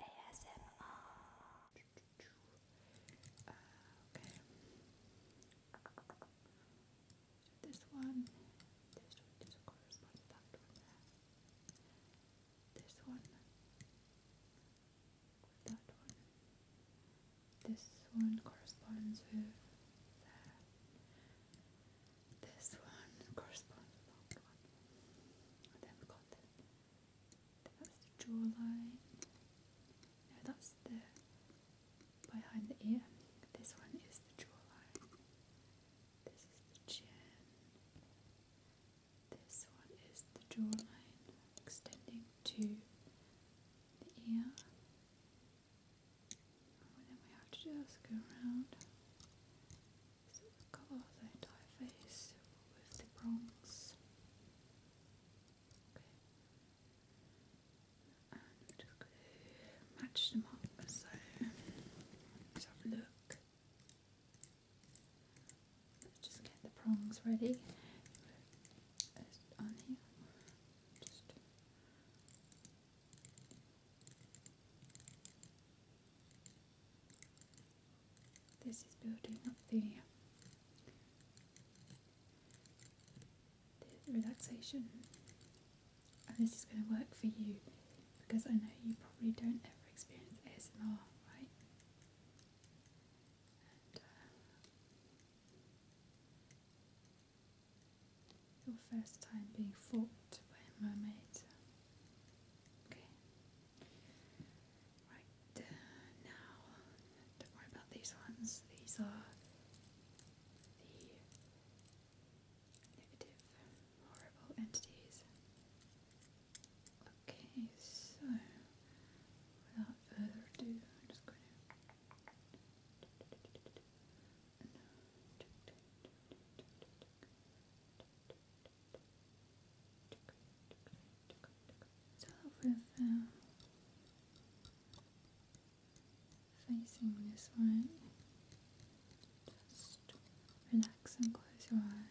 ASMR. this one, this one corresponds to that one This one that one. This one corresponds with This one corresponds with that one. That's the jawline. No, that's the behind the ear. This one is the jawline. This is the chin. This one is the jawline extending to the ear. And then we have to just go around cover that I face with the bronze. Okay. And we're just going to match them up. So let's have a look. just get the prongs ready. On here. Just this is building up the, relaxation, and this is going to work for you because I know you probably don't ever experience ASMR, right? Uh, your first time being fought by a mermaid Okay. Right, uh, now, don't worry about these ones. These are the negative, horrible entities. Okay, so without further ado, I'm just going to sort with uh, facing this one. Just relax and close your eyes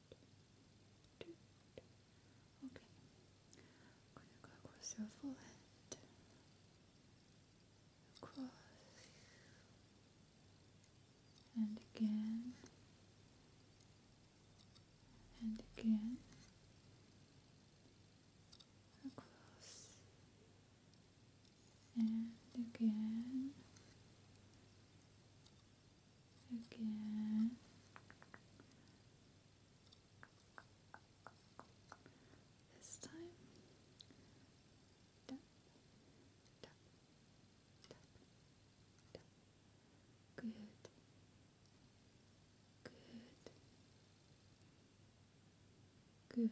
Okay. going across your forehead. Across. And again. And again. Across. And again again. This time, Good, good, good,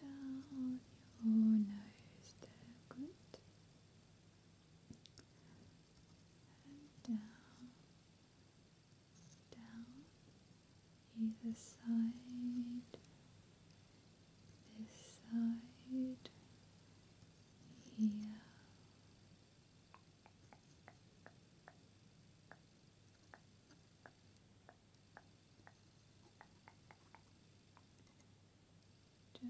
down your nose there, And down, down, either side, this side, here. Just good.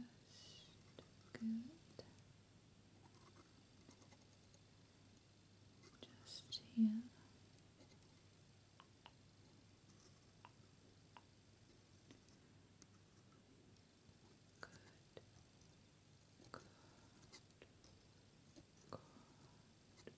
Just here. Good. Good. Good.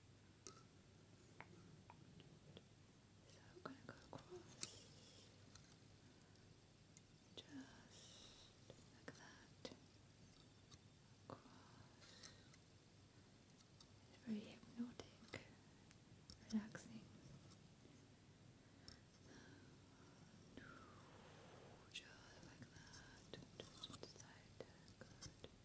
So I'm going to go across just like that. Across. It's very hypnotic, relaxing. Just like that. Just inside. Good.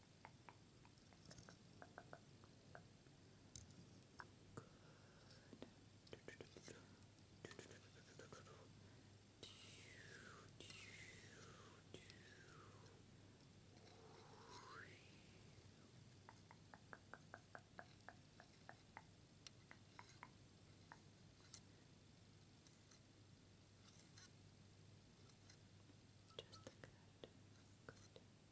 Just the good, good. Good.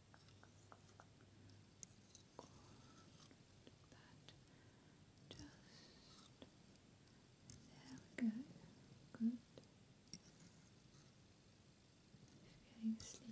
that just there we go, good feeling sleepy, good just, just, just, just, just,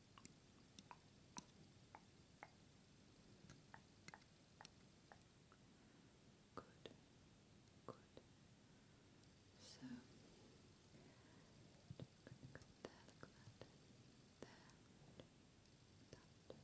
Good, good. So, I'm going to go there like that. There, that, that, that, that. Good.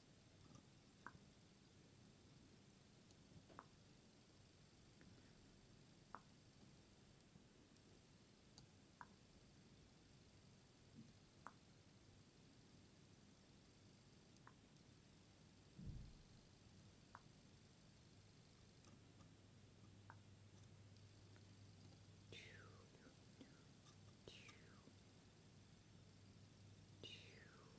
Choo, choo, choo,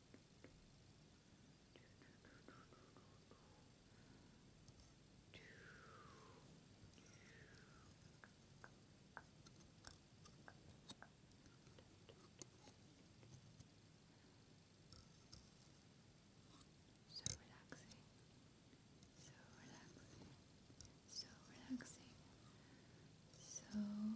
So relaxing, so relaxing, so relaxing, so relaxing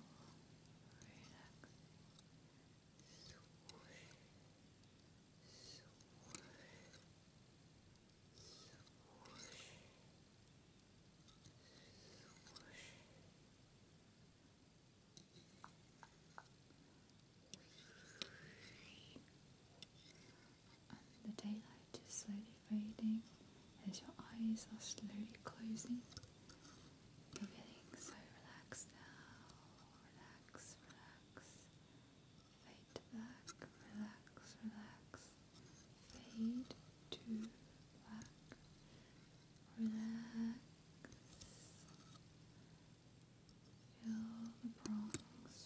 the daylight is slowly fading as your eyes are slowly closing. You're feeling so relaxed now. Relax, relax. Fade to black. Relax, relax. Fade to black. Relax. Feel the prongs of the fog on your face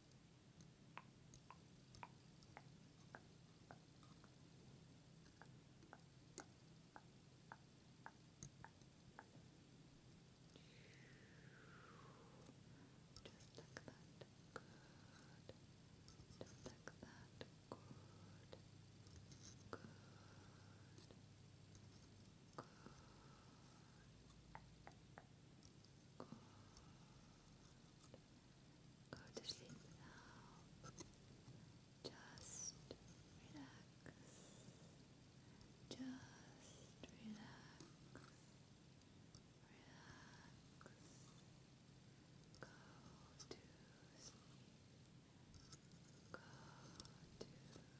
Just like that. Good. Just like that. Good. Good. Good. Go to sleep now. Just relax. Just relax. Relax. Go to sleep. Go to sleep.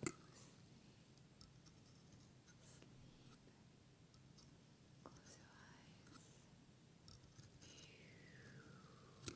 Sleep. Close your eyes. Good.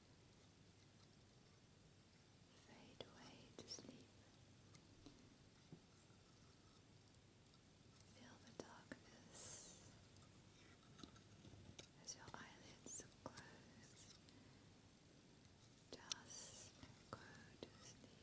Fade away to sleep. Feel the darkness as your eyelids close. Just go to sleep. Go to sleep.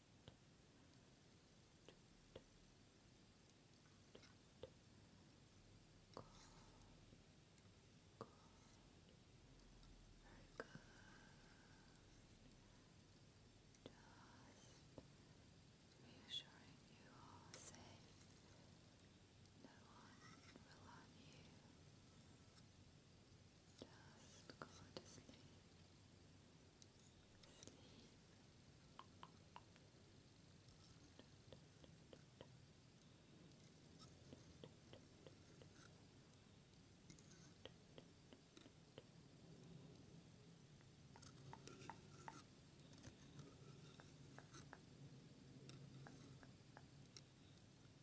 reassuring you are safe. No one will harm you. Just go to sleep. Sleep.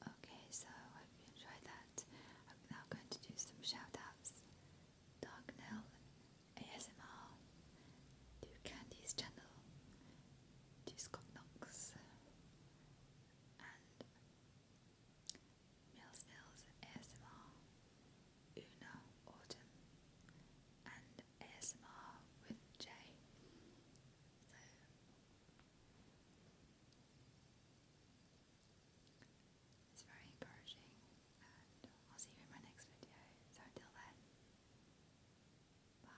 Okay, so hope you enjoyed that. I'm now going to do some shout outs. ASMR, to Candy's channel, to Scott Knox, Mills Mills Una Autumn, and ASMR with J. So it's very encouraging, and I'll see you in my next video. So until then, bye.